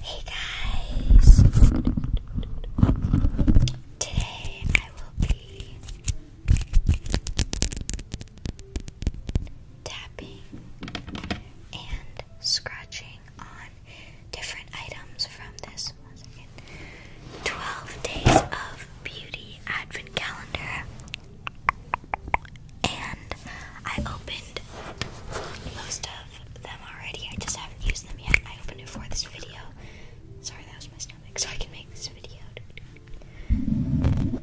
Hey guys! Today I will be tapping and scratching on different items from this 12 Days of Beauty Advent Calendar. And I opened most of them already. I just haven't used them yet. I opened it for this video. Sorry, that was my stomach. So I can make this video and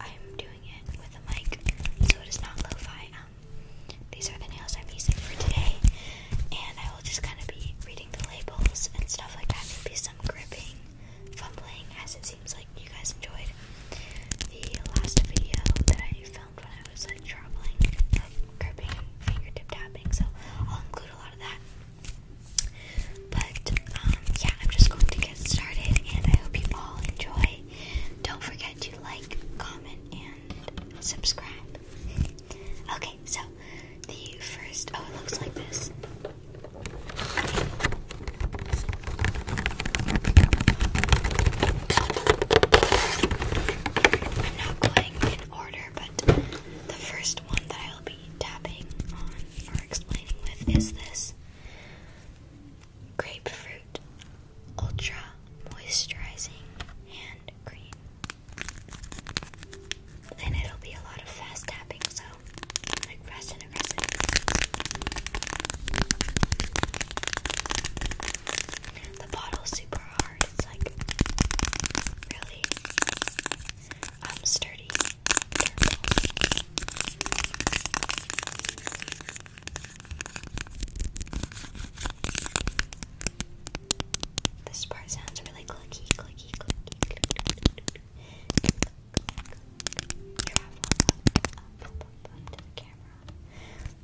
I'm doing it with a mic, so it is not lo-fi. Um, these are the nails I'm using for today, and I will just kind of be reading the labels and stuff like that. Maybe some gripping, fumbling, as it seems like you guys enjoyed the last video that I filmed when I was like traveling, um, gripping, fingertip tapping. So I'll include a lot of that. But um, yeah, I'm just going to get started, and I hope you all enjoy. Don't forget to like, comment, and subscribe. Okay, so the first oh, it looks like this. I'm not going in order, but the first one that I'll be tapping on or explaining with is this. Grapefruit Ultra Moisturizing Hand Cream. And it'll be a lot of fast tapping, so like fast and aggressive. The bottle's super hard, it's like really um, sturdy This part sounds really clicky, clicky, clicky,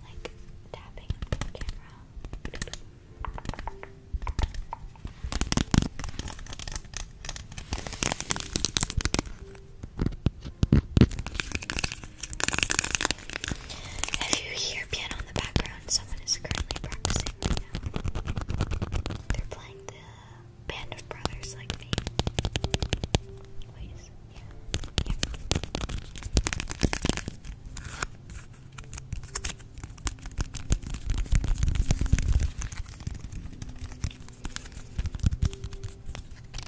like tapping up the camera. If you hear piano in the background, someone is currently practicing right now. They're playing the Band of Brothers like me. Wait, yeah.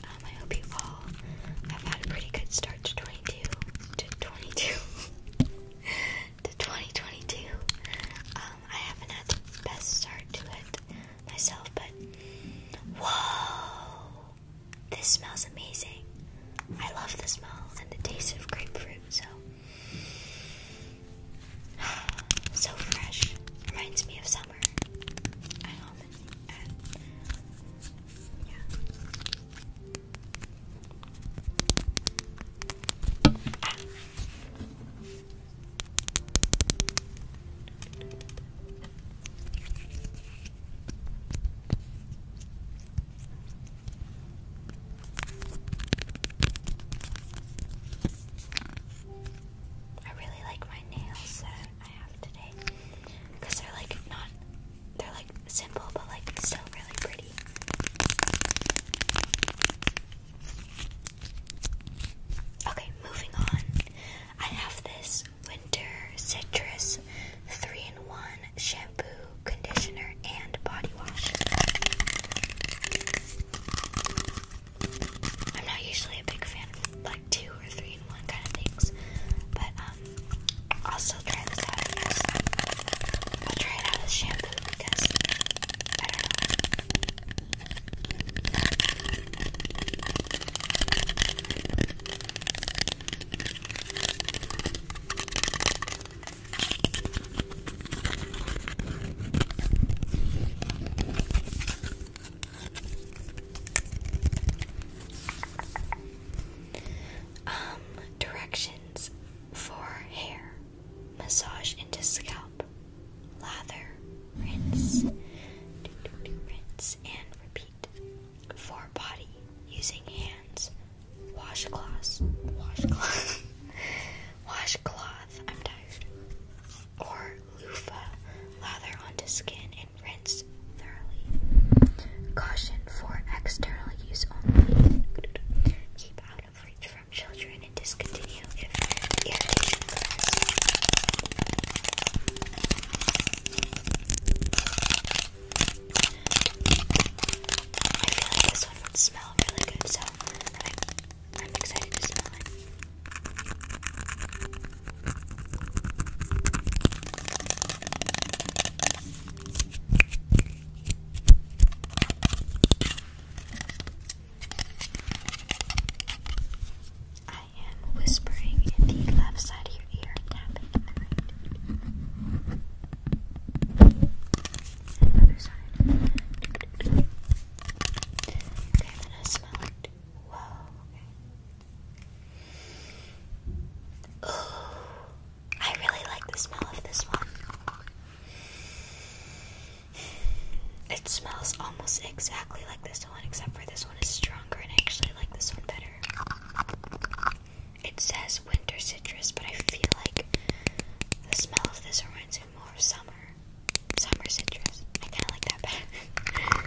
Um, I hope you all have had a pretty good start to 22, to 22, to 2022. Um, I haven't had the best start to it myself, but whoa, this smells amazing. I love the smell and the taste of grapefruit, so so fresh. Reminds me of summer. I really like my nails that I have today because they're like not they're like simple but like still really pretty. Okay, moving on. I have this winter citrus 3 in 1 shampoo, conditioner, and body wash. I'm not usually a big fan of like two or three in one kind of things, but um, I'll still try this out. I will try it out as shampoo because um, directions for hair. Massage into scalp. Lather, rinse, rinse, and repeat. For body, using hands, washcloths, washcloth, washcloth. I'm tired. Or loofah, lather onto skin and rinse thoroughly. Caution for external use only. Keep out of reach from children and discontinue if irritation occurs. I feel like this one would smell really good, so I'm, excited to smell it. whispering in the left side of your ear tapping the right. Okay, I'm gonna smell it. Whoa, Oh, I really like the smell of this one. It smells almost exactly like this one, except for this one is stronger, and I actually like this one better. It says winter citrus, but I feel like the smell of this reminds me more of summer. Summer citrus. I kind of like that better.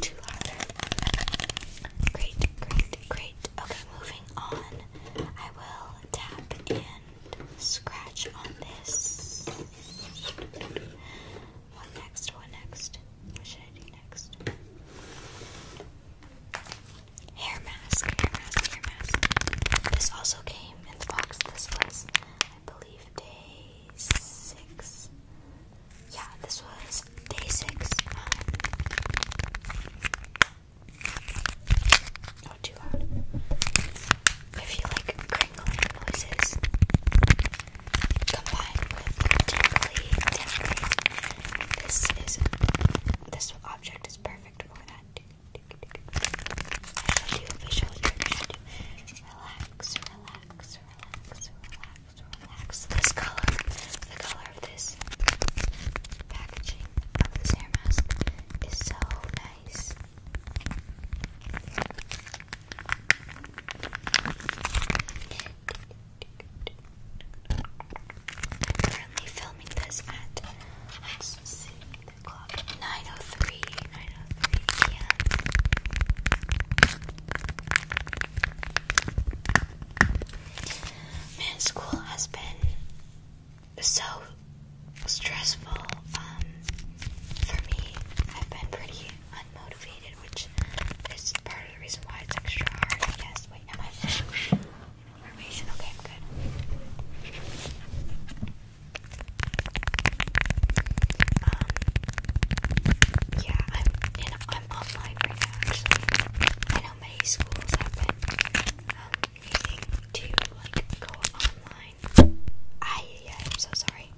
Too hard. Great, great, great. Okay, moving on. I will tap and scratch on this. What next? What next? What should I do next? Hair mask, hair mask, hair mask. This also came in the box. This was, I believe, day six. Yeah, this was day six. not um, oh, too hard. If you like crinkling noises combined with tingly, tingly, this is this object is perfect for that. I shall do visual here. Relax, relax, relax, relax, relax. This color, the color of this packaging of this hair mask is so nice. Currently filming this at let p.m. Man, school has been so stressful um, for me. I've been pretty unmotivated, which is part of the reason why it's extra hard, I Wait, am I information? Okay, I'm good. Um, yeah, I'm in, I'm online right now, actually. I know many schools have been um, to like go online mine. I, I'm so sorry.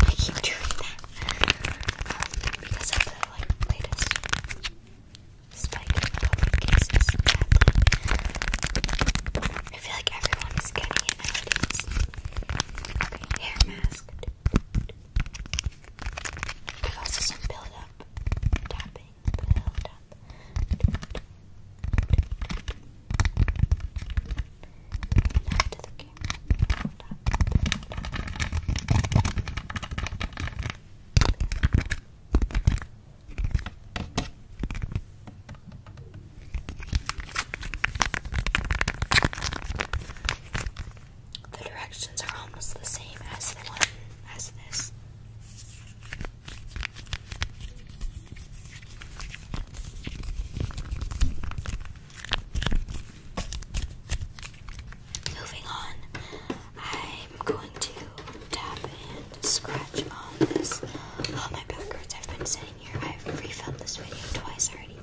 I keep doing that. Um, because of the like latest spike I feel like everyone is getting it nowadays. Okay, hair mask. i also some build up tapping, the directions are almost the same as the one as this. Moving on, I'm going to tap and scratch on this. All my back hurts. I've been sitting here. I've refilled this video twice already.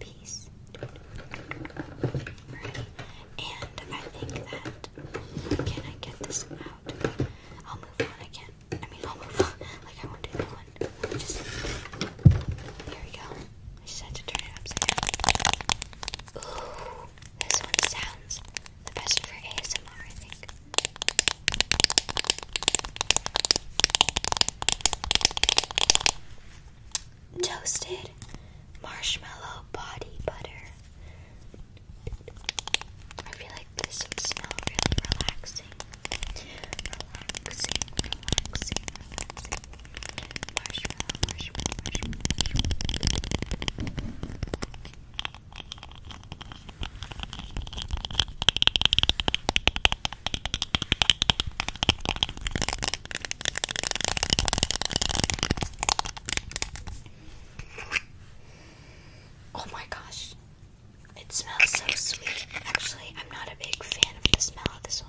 Peace. Alright. And I think that can I get this out? I'll move on again. I mean homework. like I won't do one. Just here we go. I just turn it upside this one sounds the best for ASMR, I think. Toasted marshmallow body butter. I feel like this would smell really relaxing. Relaxing, relaxing, relaxing. Marshmallow, marshmallow, marshmallow, marshmallow. Oh my gosh. It smells so sweet. Actually, I'm not a big fan of the smell of this one.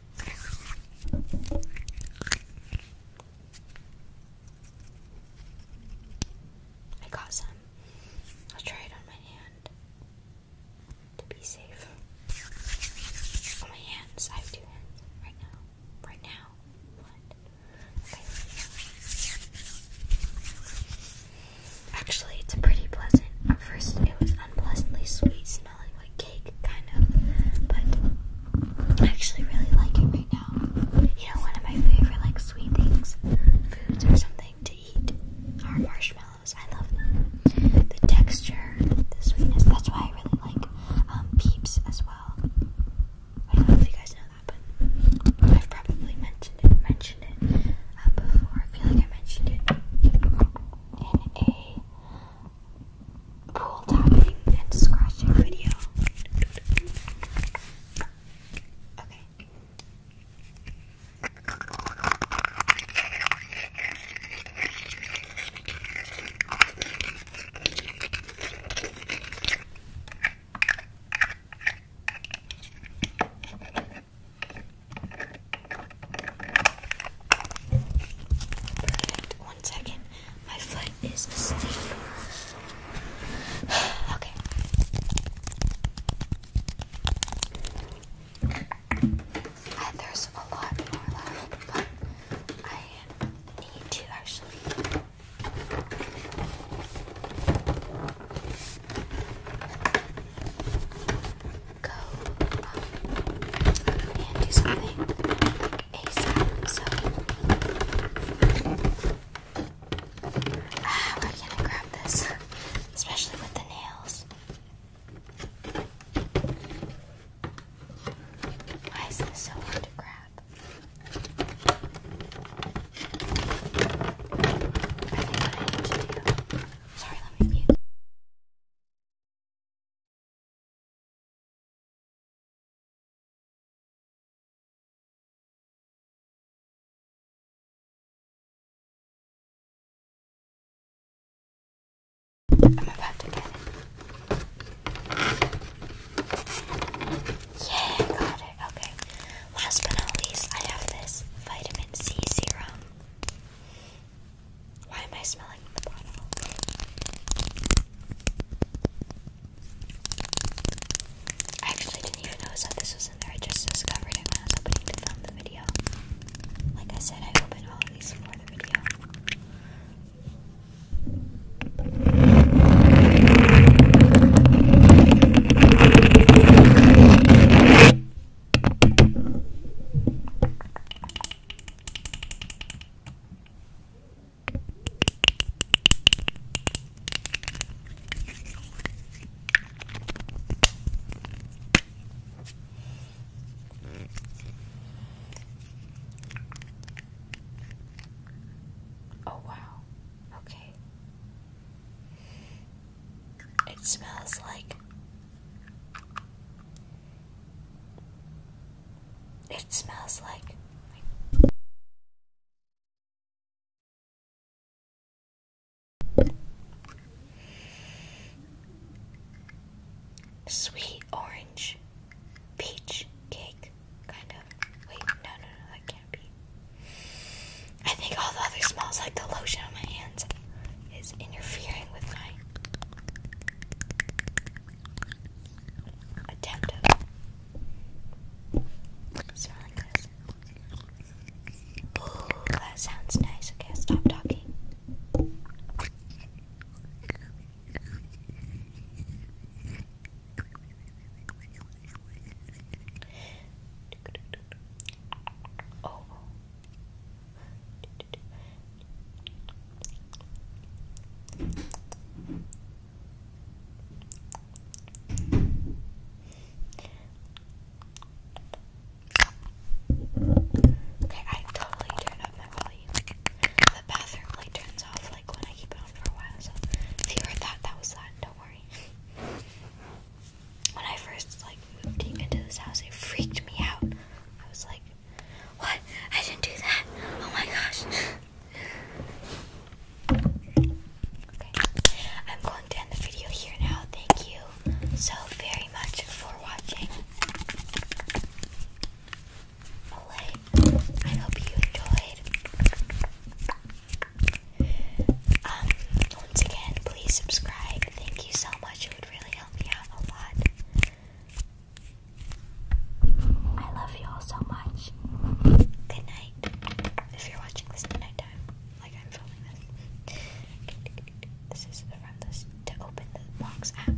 I got some. I'll try it on my hand to be safe. On oh, my hands, I have two hands right now. Right now, what? Actually, it's a pretty pleasant. At first, it was unpleasantly sweet smelling like cake, kind of, but I actually really like it right now. You know, one of my favorite like sweet things, foods or something to eat are marshmallows. I love them. The texture, the sweetness. That's why I really like um, Peeps as well. I don't know if you guys know that, but I've probably mentioned mentioned it uh, before. I feel like I mentioned it in a pool tapping and scratching video. Okay. Perfect. One second. My foot is asleep. okay. Uh, there's a lot more left, but I need to actually go um, and do something ASAP. So, ah, where can I grab this? Especially with the nails. Why is this so hard to grab? I think what I need to do. Sorry, let me I'm about to get it. Yeah, I got it. Okay. Last but not least, I have this vitamin C serum. Why am I smelling the bottle? I actually didn't even notice that this was in there. I just discovered it when I was opening to film the video. Like I said, I opened all these for the video. Oh, wow. Okay. It smells like. It smells like. Sweet orange peach cake, kind of. Wait, no, no, that can't be. I think all the other smells, like the lotion on my hands, is interfering with my attempt of smelling this. Ooh, that sounds nice. Okay, stop talking oval. Okay, I totally turn up my volume. The bathroom light turns off like when I keep it on for a while, so if you heard that, that was that, don't worry when I first like moved into this house, it freaked me out. I was like, "What? I didn't do that! Oh my gosh!" okay, I'm going to end the video here now. Thank you so very much for watching. Olay, I hope you enjoyed. Um, once again, please subscribe. Thank you so much. It would really help me out a lot. I love you all so much. Good night. If you're watching this at night like I'm filming this. This is from this to open the box app.